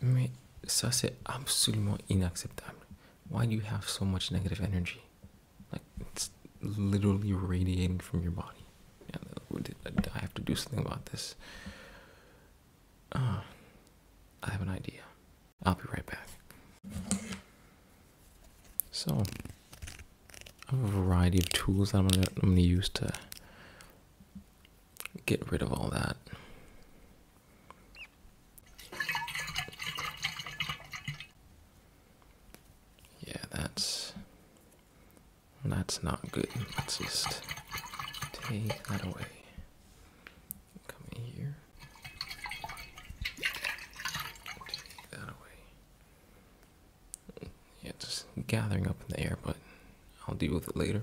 Mais ça, c'est absolument inacceptable. Why do you have so much negative energy? Like, it's literally radiating from your body. I have to do something about this. Uh, I have an idea. I'll be right back. So, I have a variety of tools that I'm going to use to get rid of all that. Yeah, that's that's not good. Let's just take that away. Come here. Take that away. Yeah, just gathering up in the air, but I'll deal with it later.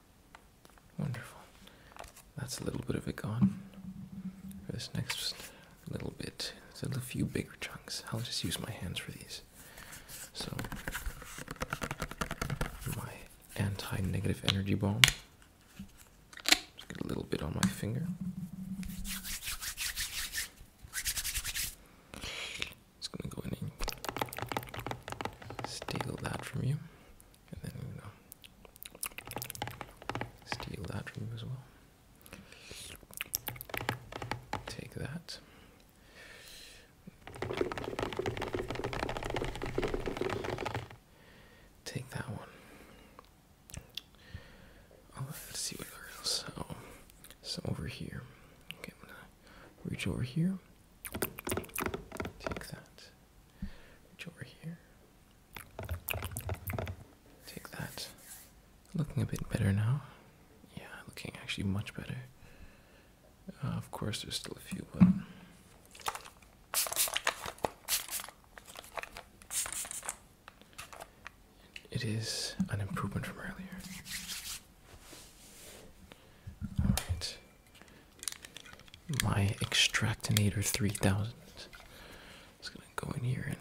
Wonderful. That's a little bit of it gone. For this next little bit, a few bigger chunks. I'll just use my hands for these. So, my anti negative energy balm. get a little bit on my finger just gonna go in and steal that from you, and then we're steal that from you as well. Take that. Take that one. All oh, right, see what else. Oh, so over here. Okay, I'm gonna reach over here. Take that. Reach over here. Take that. Looking a bit better now. Yeah, looking actually much better. Uh, of course, there's still a few, but. It is an improvement from earlier. All right. My Extractinator 3000. It's going to go in here and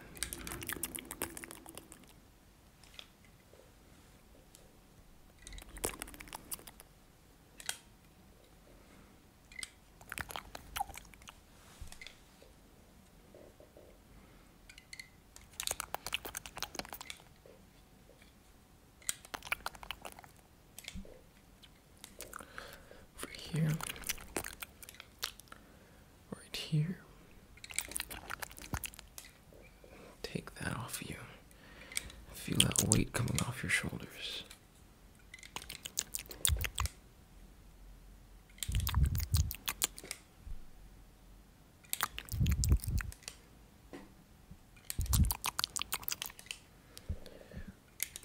over here, right here. Take that off you. Feel that weight coming off your shoulders.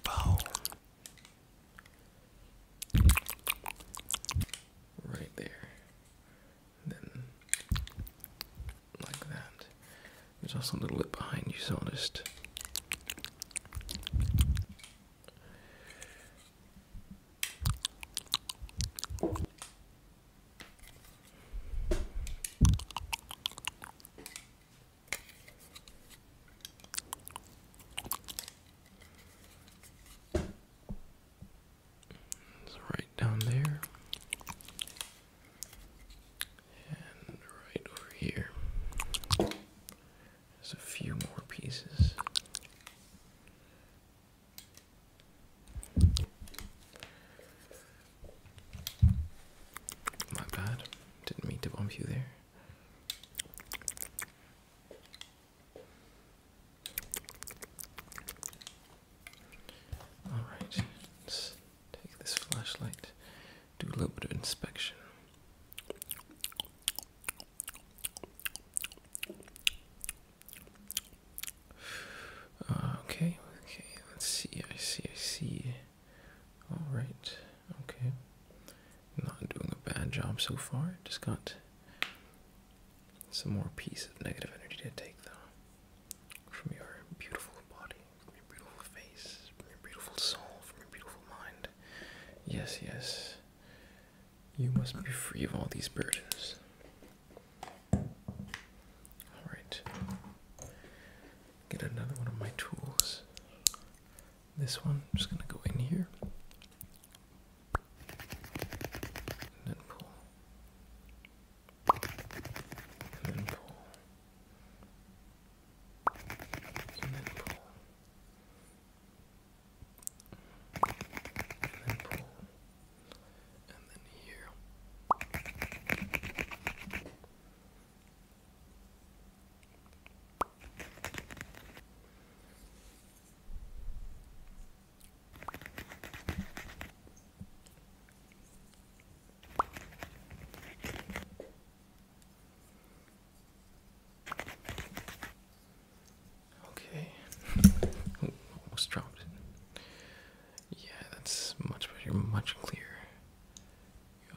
Wow. Right there. Then like that. There's also a little bit behind you, so I'll just it's right down there. And right over here. There's a few more pieces. My bad. Didn't mean to bump you there. Alright, let's take this flashlight, do a little bit of inspection. Uh, okay, okay, let's see, I see, I see. Alright, okay. Not doing a bad job so far. Just got some more piece of negative energy to take, though. From your beautiful body, from your beautiful face, from your beautiful soul, from your beautiful mind. Yes, yes. You must be free of all these burdens. All right. Get another one of my tools. This one, just gonna go in here and then pull, and then pull, and then pull, and then pull, and then here. And Okay. Almost dropped it. Yeah, that's much better, much clearer.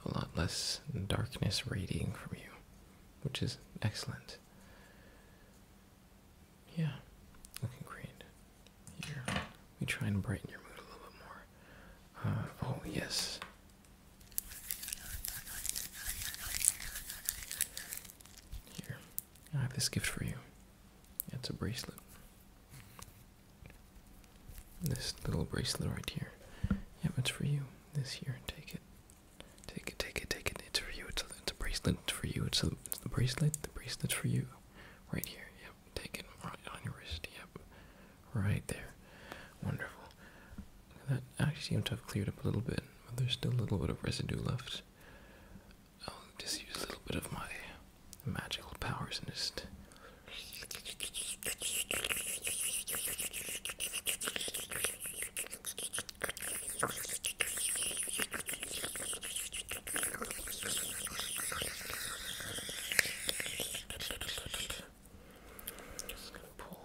A lot less darkness radiating from you, which is excellent. Yeah, looking great. Here, let me try and brighten your mood a little bit more. Uh, oh, yes. Here, I have this gift for you. It's a bracelet. This little bracelet right here. Yep, it's for you. This here, take it. Take it, take it, take it. It's for you. It's a, it's a bracelet. It's for you. It's, a, it's the bracelet. The bracelet's for you. Right here. Yep, take it right on your wrist. Yep, right there. Wonderful. That actually seems to have cleared up a little bit, but there's still a little bit of residue left. I'll um, just use a little bit of my magical powers and just Pull,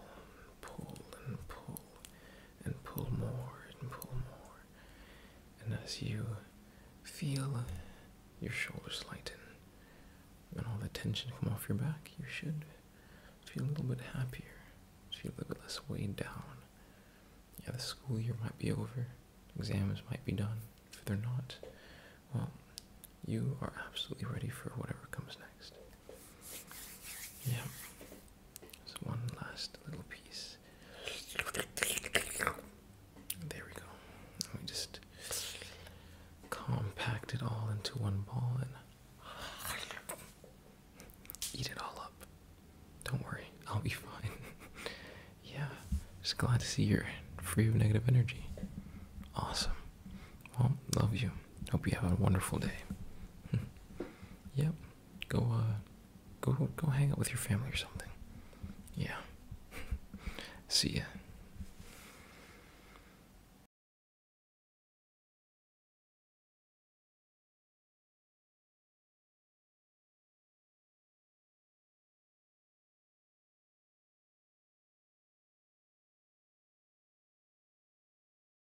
pull, and pull and pull more and pull more. And as you feel your shoulders lighten and all the tension come off your back, you should feel a little bit happier, feel a little bit less weighed down. Yeah, the school year might be over, exams might be done. If they're not, well, you are absolutely ready for whatever comes next. Yeah. There's one last little piece. There we go. And we just compact it all into one ball and eat it all up. Don't worry, I'll be fine. yeah, just glad to see you're free of negative energy. Awesome. Well, love you. Hope you have a wonderful day. yep. Go, uh, go, go hang out with your family or something. Yeah. See ya.